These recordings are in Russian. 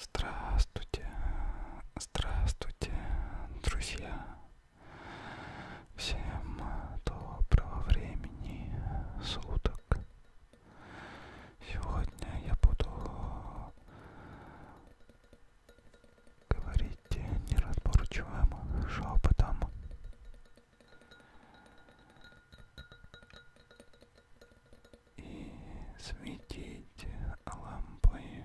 Здравствуйте, здравствуйте, друзья! Всем доброго времени суток! Сегодня я буду говорить неразборчивым шепотом и светить лампой.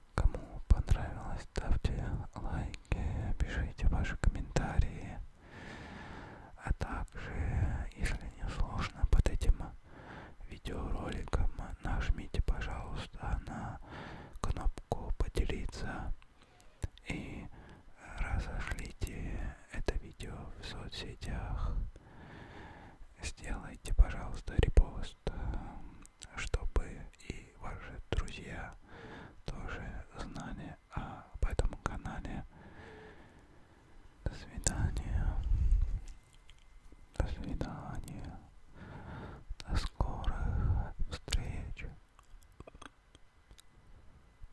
Кому понравилось, ставьте лайки, пишите ваши комментарии. А также, если не сложно, под этим видеороликом нажмите, пожалуйста, на кнопку поделиться и разошлите это видео в соцсетях. Сделайте, пожалуйста, репост чтобы и ваши друзья тоже знали об этом канале. До свидания. До свидания. До скорых встреч.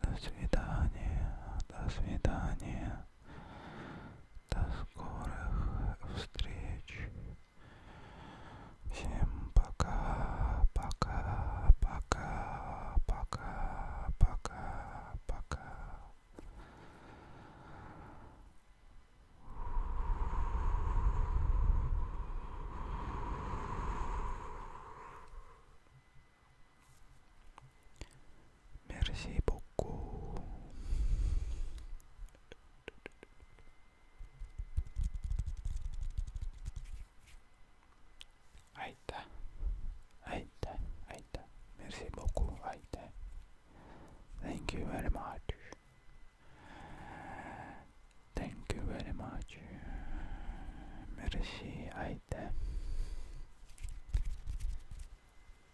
До свидания. До свидания. До скорых встреч. Всем пока, пока, пока, пока, пока, пока. Merci beaucoup. Aïe, aïe, aïe, merci beaucoup, aïe. Thank you very much. Thank you very much. Merci, aïe.